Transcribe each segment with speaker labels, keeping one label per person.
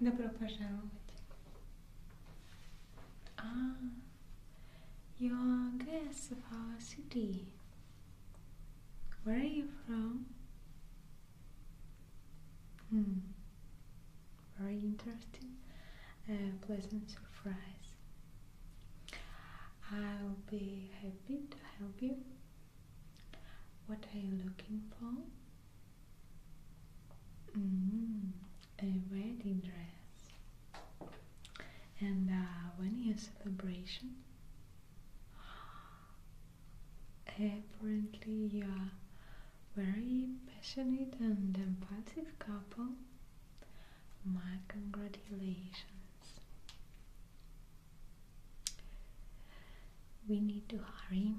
Speaker 1: Добро пожаловать. Ah, your guest of our city. Where are you from? Hmm. Very interesting. A pleasant surprise. I'll be happy to help you. What are you looking for? Mm, a wedding dress. And when is when celebration? Apparently, you are very passionate and empathic couple. My congratulations. We need to hurry,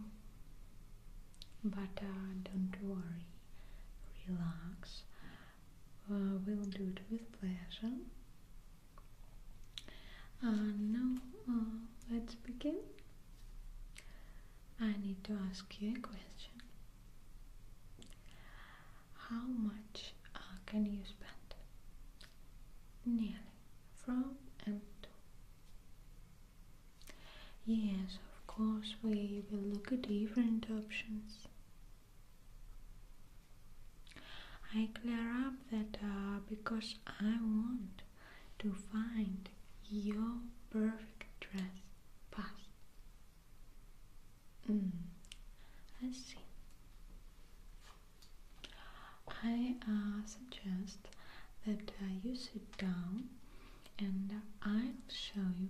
Speaker 1: but uh, don't worry, relax. Uh, we'll do it with pleasure. Uh, now, let's begin. I need to ask you a question. How much can you spend? Nearly from and to. Yes, of course, we will look at different options. I clear up that uh, because I want to find your perfect dress path. Let's mm, see. I uh, suggest that uh, you sit down and I'll show you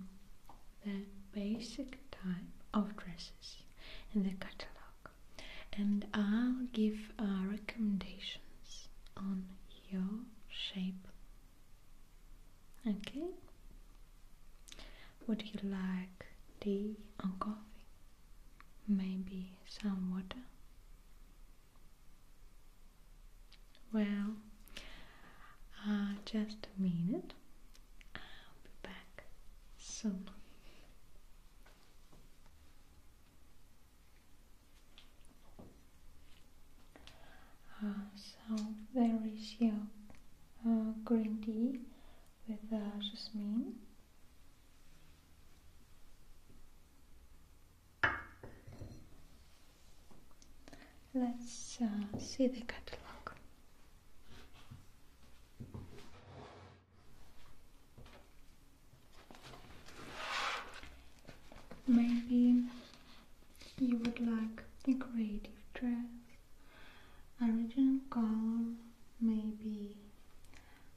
Speaker 1: the basic type of dresses in the catalog and I'll give uh, recommendations on your shape. Okay? Would you like tea or coffee? maybe some water. Well, uh, just a minute. I'll be back soon. Uh, so there is your uh, green tea with uh, jasmine Let's uh, see the catalog. Maybe you would like a creative dress, original color, maybe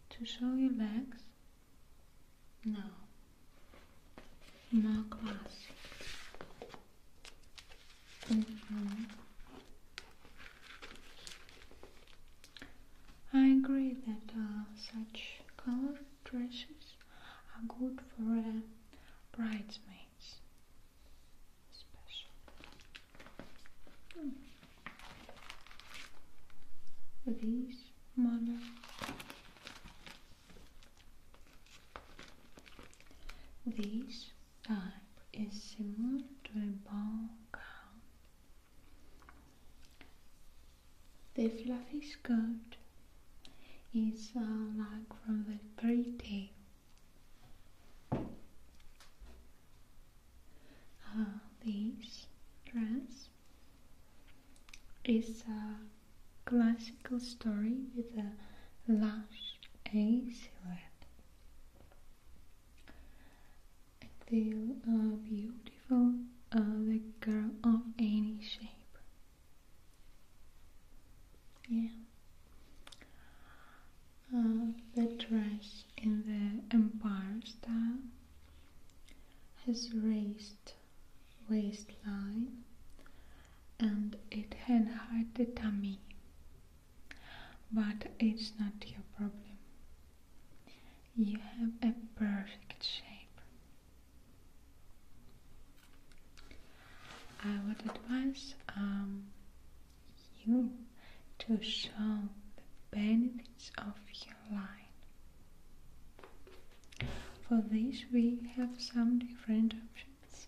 Speaker 1: to show your legs no. More glass. Mm-hmm. I agree that uh, such colored dresses are good for uh, bridesmaids, especially. Hmm these models. This type is similar to a ball gown. The fluffy skirt is uh, like from the fairy tale. Uh, this dress is a classical story with a lush A silhouette. And the uh, beautiful uh, the girl of any shape. Yeah. Uh, the dress in the empire style has raised waistline and it had hurt the tummy but it's not your problem you have a perfect shape I would advise um, you to show the benefits of for this we have some different options.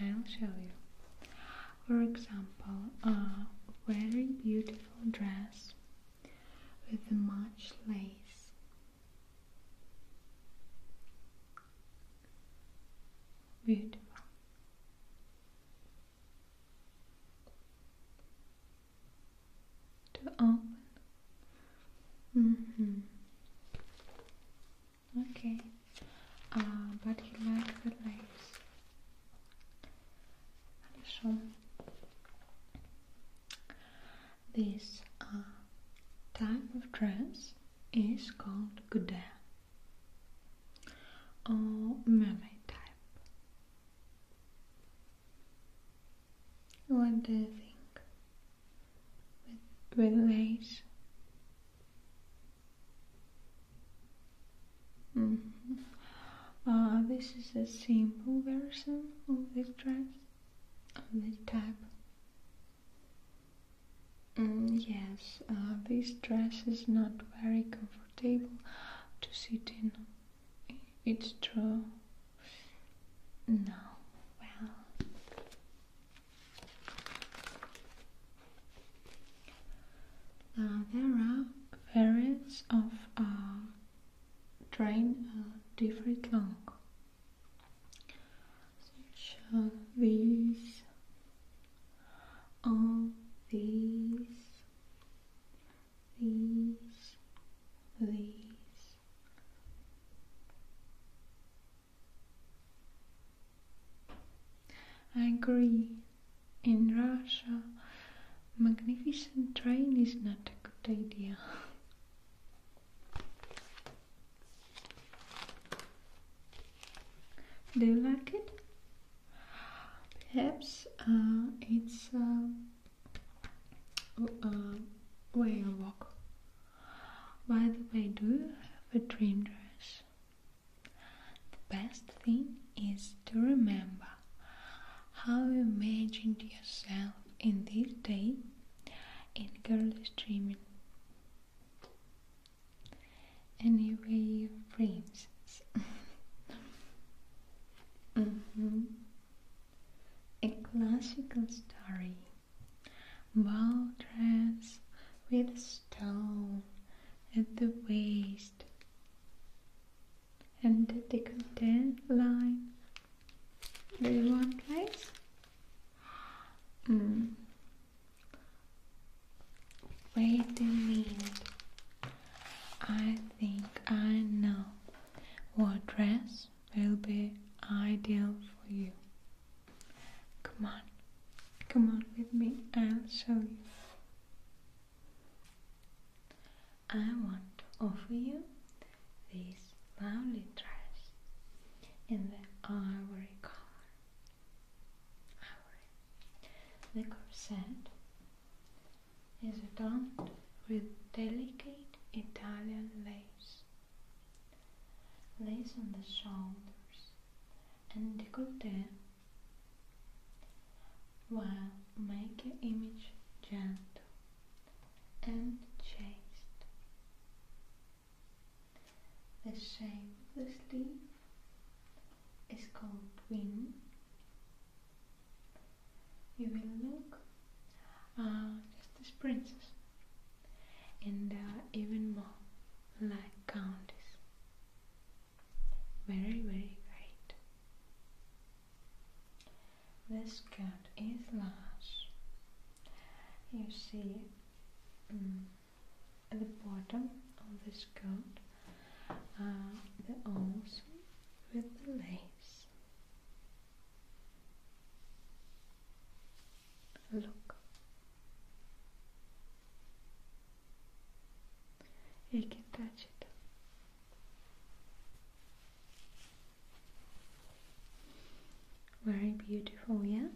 Speaker 1: I'll show you. For example, a very beautiful dress with much lace. Beautiful to open. Mm -hmm. Okay, uh, but you like the lace. Хорошо. This uh, type of dress is called goudet or mermaid type. What do you think? With, with lace? Mm-hmm. Ah, this is a simple version of the dress, of the type. Mm, yes, ah, this dress is not very comfortable to sit in. It's true. No, well. Uh, there are variants of a uh, train uh, different long such as these all these these, these. I agree. In Russia, magnificent train is not a good idea. Do you like it? Perhaps uh, it's uh, where you walk. By the way, do you have a dream dress? The best thing is to remember how you imagined yourself in this day in girlish dreaming. Anyway, princess. mm -hmm. A classical story. Well dressed with stone at the waist and the decollete line. Do you want place? Mm. Wait a minute. I think I know. What dress will be ideal for you? Come on, come on with me, and show me. I want to offer you this lovely dress in the ivory color. Ivory. The corset is adorned with delicate Italian lace, lace on the shoulders and décolleté, while making image gentle and chaste. The shape of the sleeve is called twin you will look ah, just as princess and even more like countess. Very, very great. This coat is large. You see mm, at the bottom of this coat are the arms with the lace. Look. You can touch it. Very beautiful, yeah?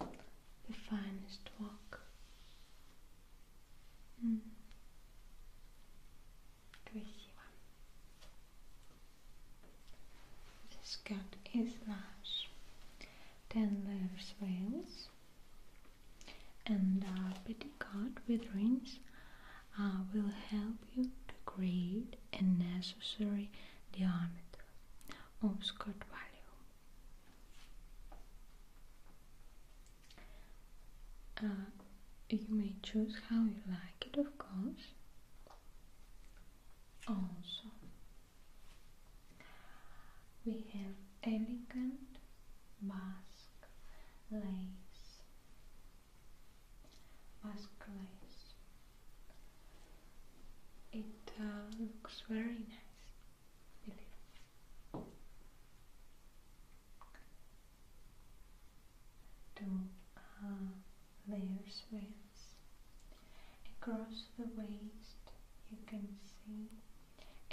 Speaker 1: The finest walk. Hmm. The skirt is large, 10 layers veils and a petticoat with rings uh, will help you to create a necessary diameter of skirt value. Uh, you may choose how you like it, of course. Also, we have elegant mask lace, Mask lace. It uh, looks very nice, to uh, their swings. Across the waist you can see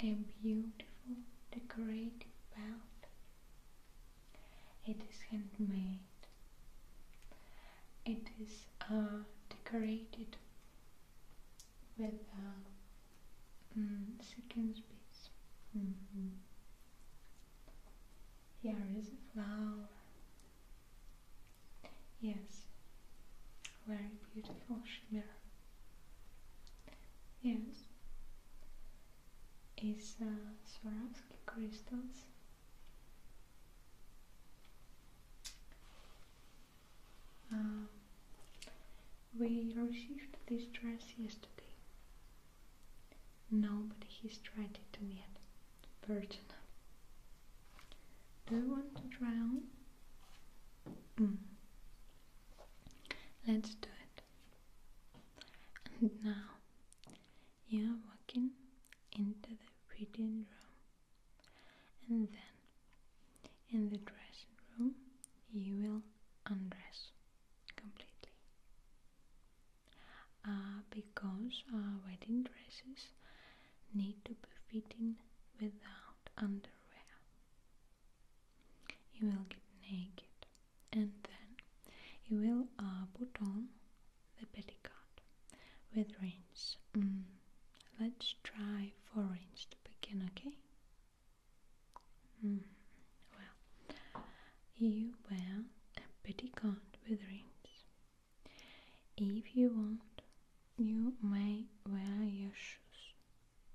Speaker 1: a beautiful decorated belt. It is handmade. It is uh, decorated with uh, mm, sequins beads. Here is a flower. Yes, very beautiful shimmer. Yes, is uh, Swarovski crystals. Um, we received this dress yesterday. Nobody has tried it yet. Virgin. Do you want to drown? Mm. Let's do it. And now you are walking into the reading room. And then in the dressing room you will undress completely. Uh, because uh, wedding dresses need to be fitting without underwear. You will get naked and then you will uh, put on the petticoat with rings. Mm. Let's try four rings to begin, okay? Hmm. Well, you wear a petticoat with rings. If you want, you may wear your shoes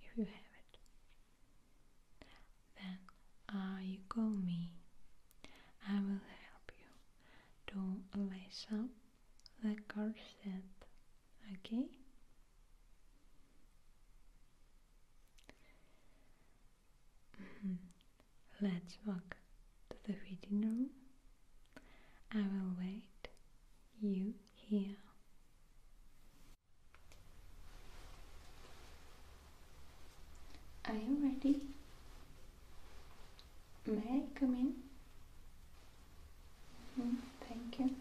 Speaker 1: if you have it. Then uh, you call me. I will help you to lace up the corset. Okay? Mm-hmm. Let's walk to the reading room. I will wait you here. Are you ready? May I come in? Mm-hmm. thank you.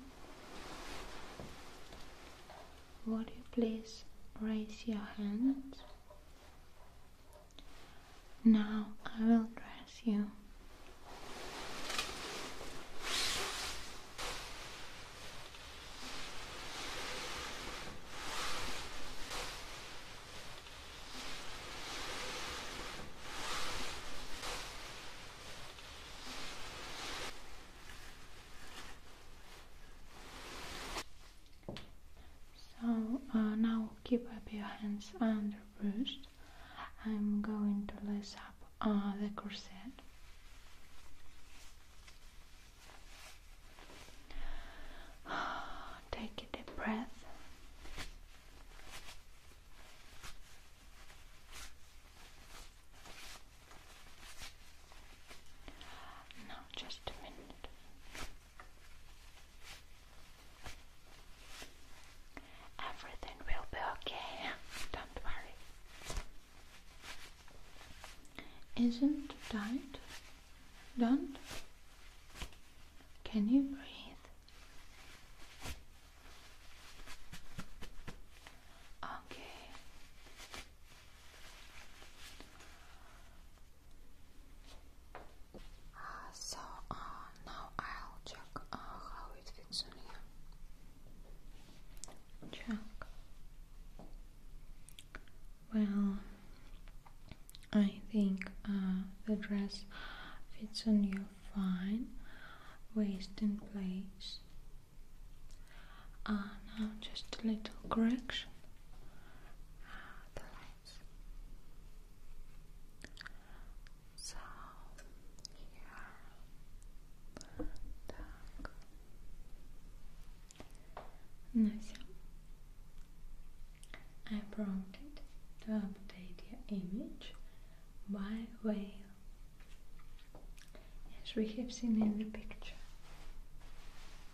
Speaker 1: Would you please raise your hand? Now I will dress you. So uh, now keep up your hands under breast. I'm going to lace up uh, the corset. Take a deep breath. Now, just a minute. Everything will be okay, don't worry. Isn't that Don't? Can you breathe? Okay. Ah, so uh, now I'll check uh, how it fits on you. Check. Well, I think uh, the dress fits on your fine, waist in place now just a little correction. Ah, the lights. So here, так. Ну I prompted to update your image by whale, as we have seen in the picture.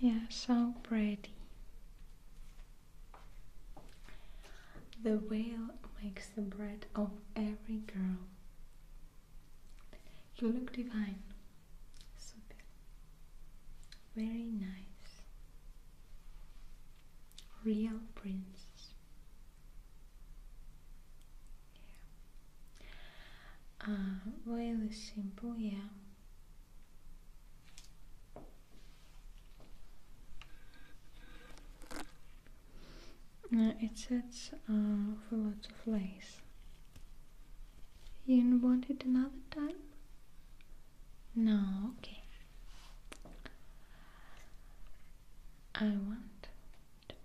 Speaker 1: Yeah, so pretty. The whale makes the bread of every girl. You look divine. Super. Very nice. Real princess yeah. Uh, really simple, yeah. Uh, it sets for lots of lace. You want it another time? No, okay. I want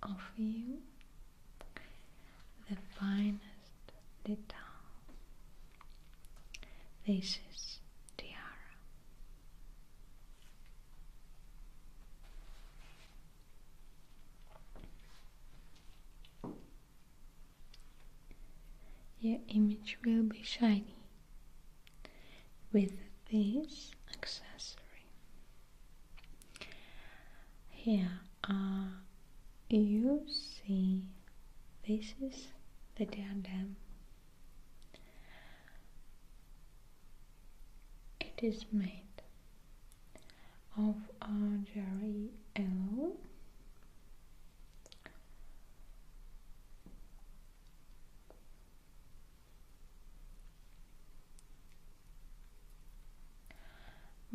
Speaker 1: offer you the finest detail. This is tiara. Your image will be shiny with this accessory. Here you see this is the dandam. It is made of uh, jewelry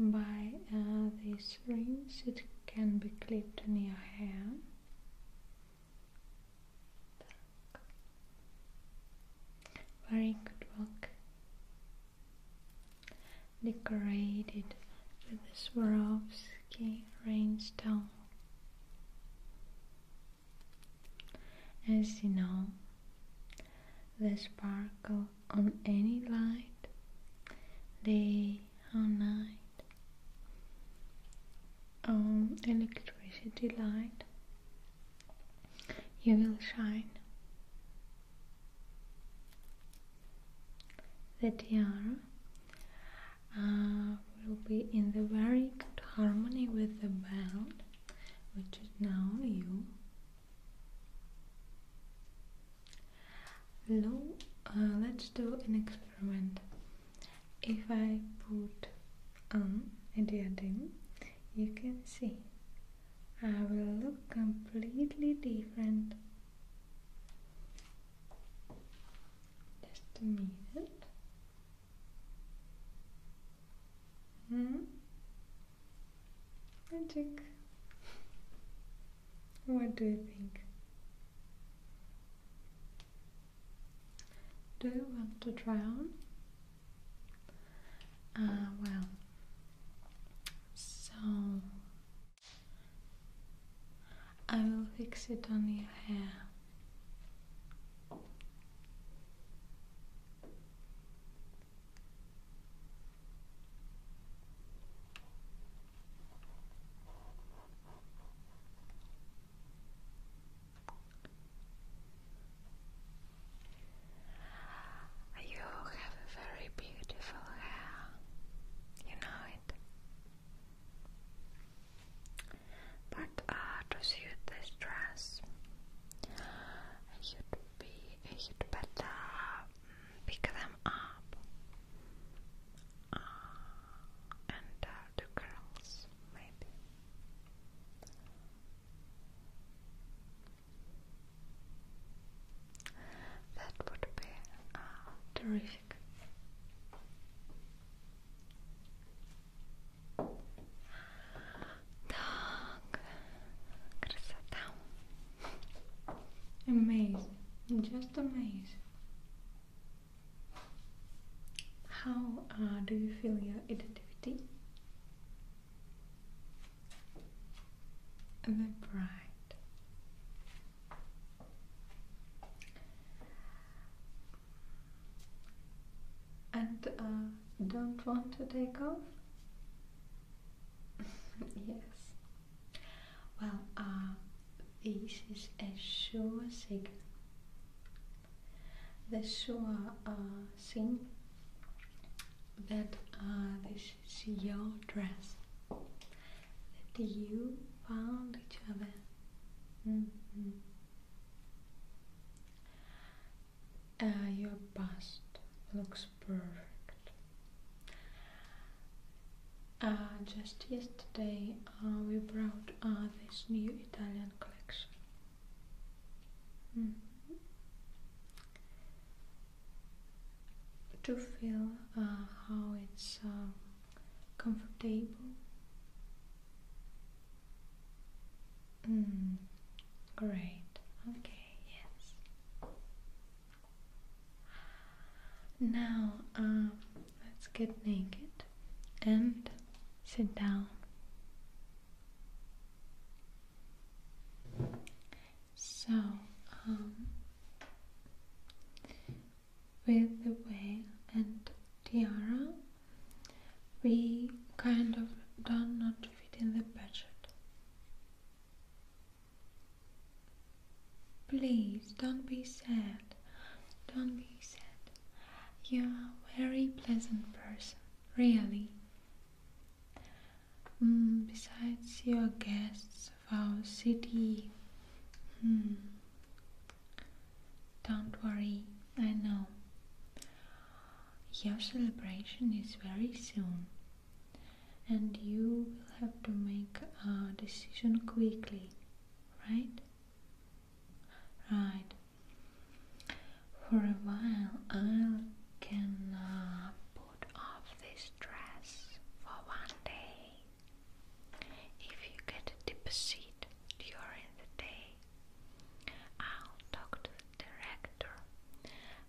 Speaker 1: by uh, these rings it can be clipped in your hair. Very good work. Decorated with the Swarovski rainstone. As you know, the sparkle on any light, day or night, on electricity light, you will shine. The tiara uh, will be in the very good harmony with the belt which is now you low uh, let's do an experiment if I put on a diadem you can see I will look completely different just a minute Hmm. Magic. What do you think? Do you want to try on? Uh, well, so I will fix it on your hair. You have a very beautiful hair, you know it. But uh, to suit this dress, you be you better mm, pick them up uh, and uh, the girls maybe that would be uh, terrific Amazing, just amazing. How uh, do you feel your identity? Very bright. And uh, don't want to take off? yes. Well, uh, this is a sure signal. The sure uh, thing that uh, this is your dress that you found each other. Mm-hmm. Uh, your bust looks perfect. Uh, just yesterday uh, we brought this new Italian collection. Mm-hmm. To feel how it's um, comfortable Mm, great. Okay, yes. Now, um, let's get naked and sit down. So, um, with the veil and tiara, we kind of do not fit in the budget. Please don't be sad. Don't be sad. You're a very pleasant person, really. Mm, besides, your guests of our city. Hmm, don't worry, I know your celebration is very soon and you will have to make a decision quickly, right? Right. For a while, I can uh, put off this dress for one day. If you get a deposit during the day, I'll talk to director,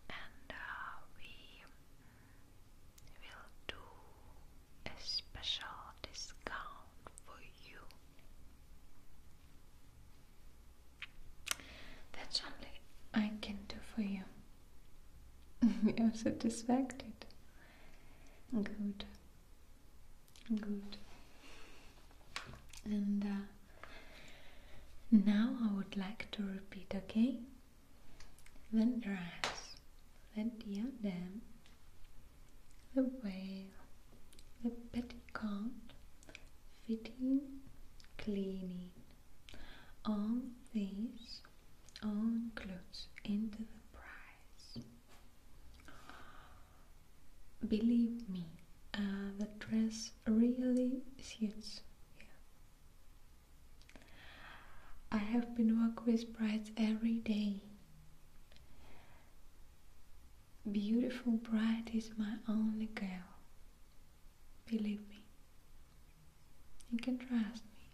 Speaker 1: and uh, we will do a special discount for you. That's only I can do for you. You're satisfied? Good. Good. And uh, now I would like to repeat, okay? The dress, the diadem, the veil, the petticoat, fitting, cleaning. All these all clothes into the price. Believe me, uh, the dress really suits I have been working with brides every day. Beautiful bride is my only girl. Believe me. You can trust me.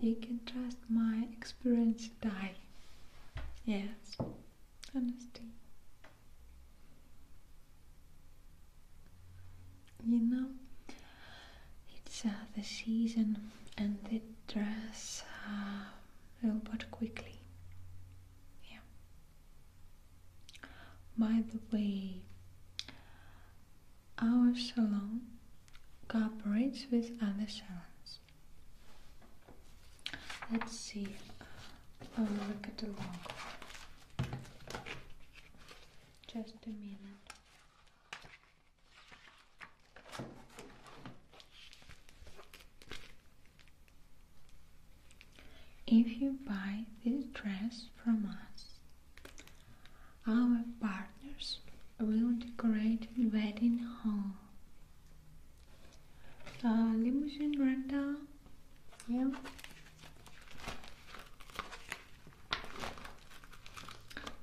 Speaker 1: You can trust my experience, die. Yes honesty. You know, it's uh, the season and the dress uh, will but quickly. Yeah. By the way, our salon cooperates with other salons. Let's see Oh, look at the logo. Just a minute. If you buy this dress from us, our partners will decorate the wedding hall. Uh, limousine rental yeah.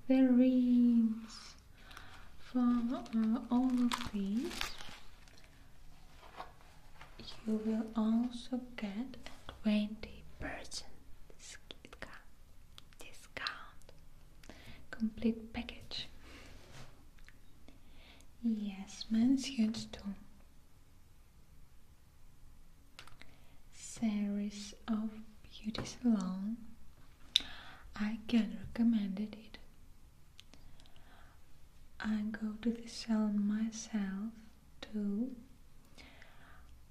Speaker 1: The rings for uh, all of these you will also get 20% discount complete package yes men's huge too series of beauty salon I can recommend it I go to the salon myself too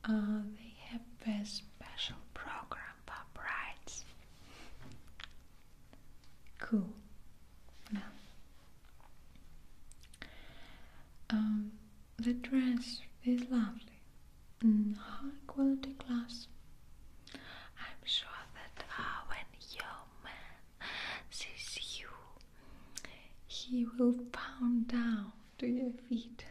Speaker 1: uh, they have a special program for brides cool now um, the dress is lovely, mm, high quality glass. I'm sure that uh, when your man sees you, he will pound down to your feet.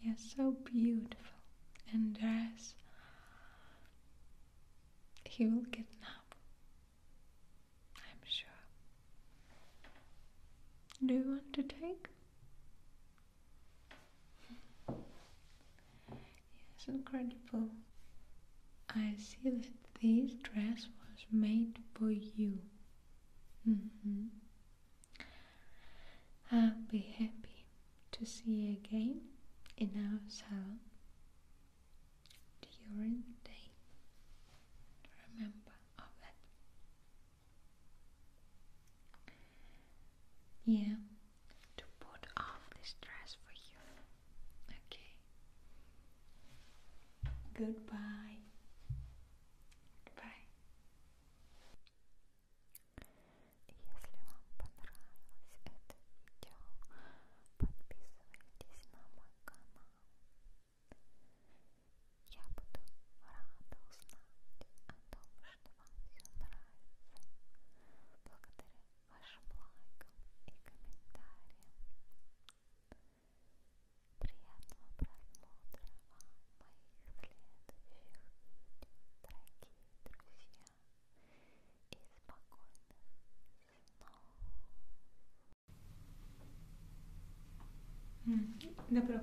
Speaker 1: You're so beautiful and dress. He will get up I'm sure. Do you want to take? Yes, incredible. I see that this dress was made for you. Mm-hmm. I'll be happy to see you again in our salon during the day. Remember of it. Yeah, to put off the stress for you. Okay. Goodbye. Goodbye. подписывайтесь на мой канал. Я буду рада узнать о том, что вам все нравится. Благодаря вашим лайкам и комментариям. Приятного просмотра вам моих следующих видео, дорогие друзья, и спокойных No. Hmm. Добро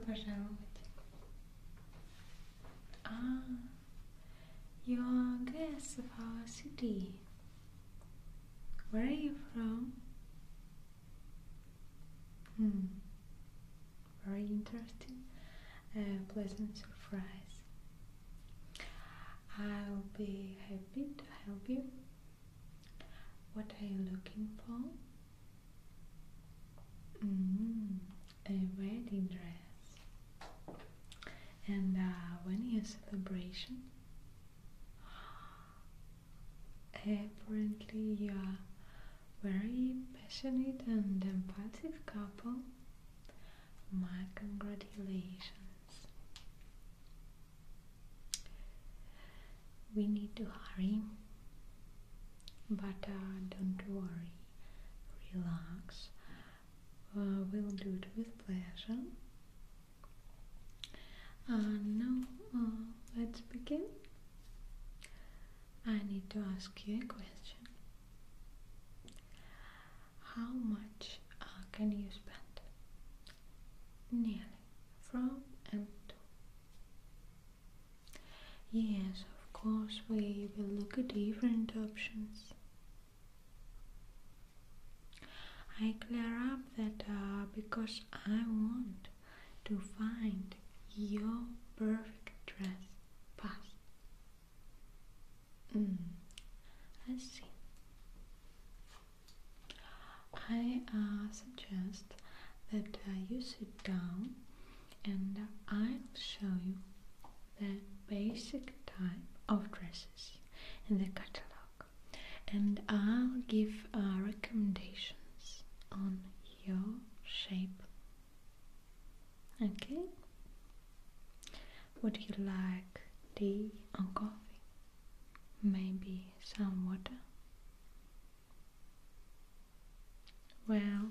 Speaker 1: Ah, you're a guest of our city. Where are you from? Hmm. Very interesting. A uh, pleasant surprise. I'll be happy to help you. What are you looking for? Mm-hmm. a wedding dress. And when is the celebration? Apparently, you are very passionate and empathic couple. My congratulations. We need to hurry, but uh, don't worry, relax. Uh, we'll do it with pleasure. Uh, now, let's begin. I need to ask you a question. How much can you spend? nearly from and to. Yes, of course, we will look at different options. I clear up that uh, because I want to find your perfect dress path. Let's hmm. see. I uh, suggest that uh, you sit down and I'll show you the basic type of dresses in the catalog and I'll give uh, recommendations on your shape. Okay? Would you like tea or coffee? maybe some water. Well,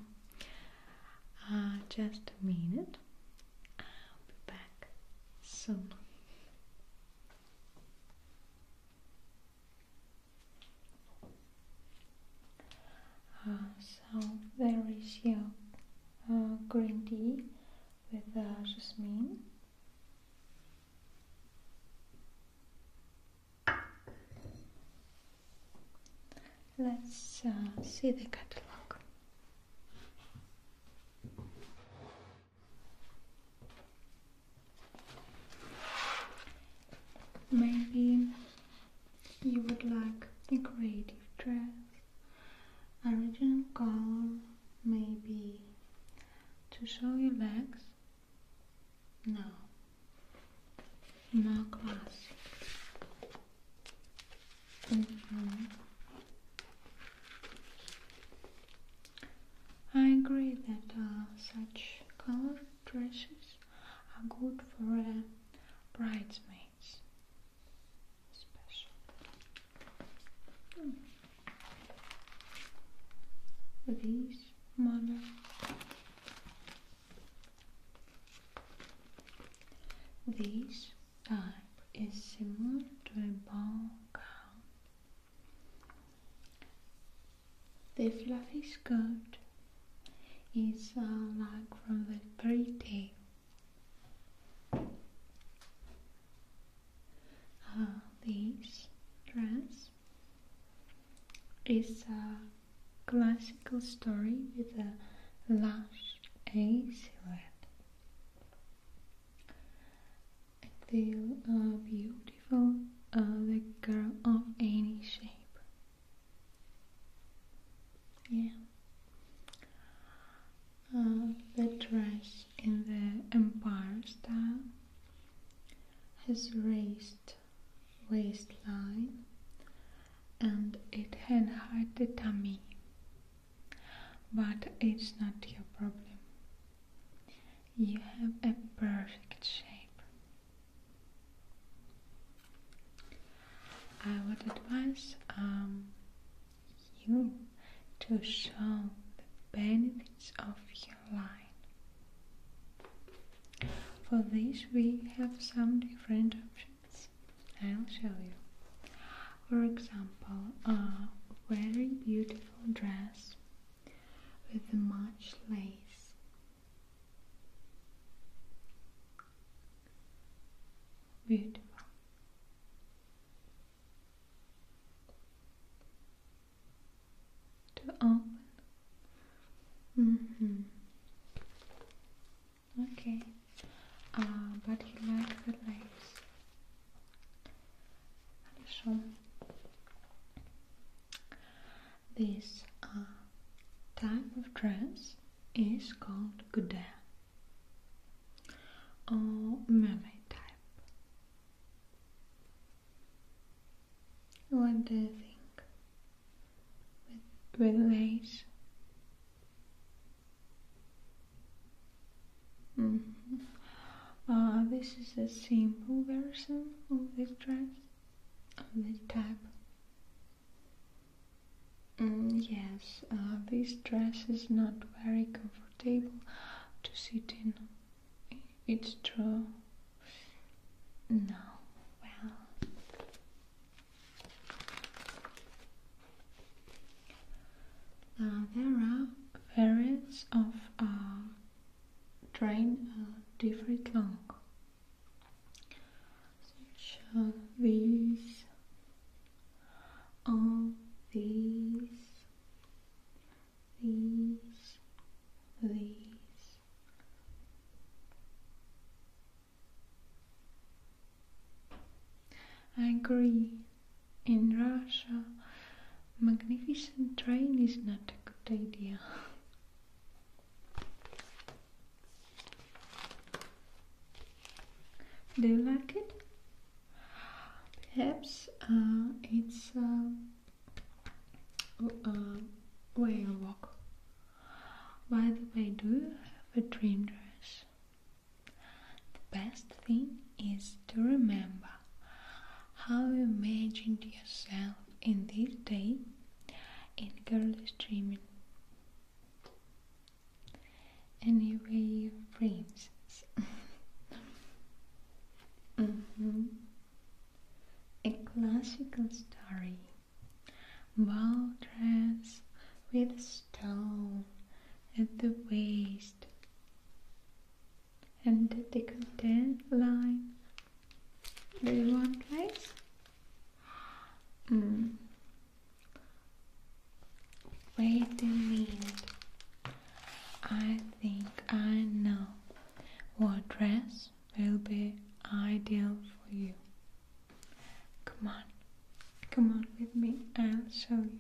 Speaker 1: uh, just a minute. I'll be back soon. Uh, so there is your uh, green tea with uh, jasmine. Let's uh, see the catalog. Maybe you would like a creative dress, original gown maybe to show your legs? No, more classic. Mm-hmm. I agree that uh, such color dresses are good for uh, bridesmaids special. Mm. These This type uh, is similar to a ball gown. The fluffy skirt is uh, like from the fairy tale. Uh, this dress is a classical story with a lush A silhouette. The uh, beautiful uh, the girl of any shape. Yeah. Uh, the dress in the empire style has raised waistline and it had the tummy. but it's not your problem you have a perfect shape I would advise um, you to show the benefits of your line. For this we have some different options. I'll show you. For example, a very beautiful dress with much lace. Beautiful to open. Mm-hmm. Okay. Uh, but he likes the legs. Хорошо. This uh, type of dress is called gouda or mermaid type. What do you think? With, lace? Mm-hmm. Ah, this is a simple version of this dress, of this type. Mm, yes, ah, this dress is not very comfortable. Table to sit in. It's true. No, well. Now there are variants of a train a different long. Such so as these, all these, these, these. I agree. In Russia, magnificent train is not a good idea. Do you like it? Perhaps uh, it's a way uh, uh walk. By the way, do you have a dream dress? The best thing is to remember how you imagined yourself in this day in girlish dreaming. Anyway, friends. Mm-hmm. A classical story. Ball dress with stone at the waist and the decollete line. Do you want place? Mm. Wait a minute. I think I know what dress will be ideal for you. Come on, come on with me, I'll show you.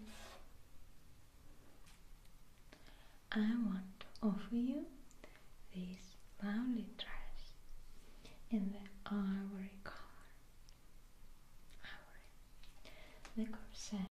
Speaker 1: I want to offer you this lovely dress in the ivory color. Ivory. The corset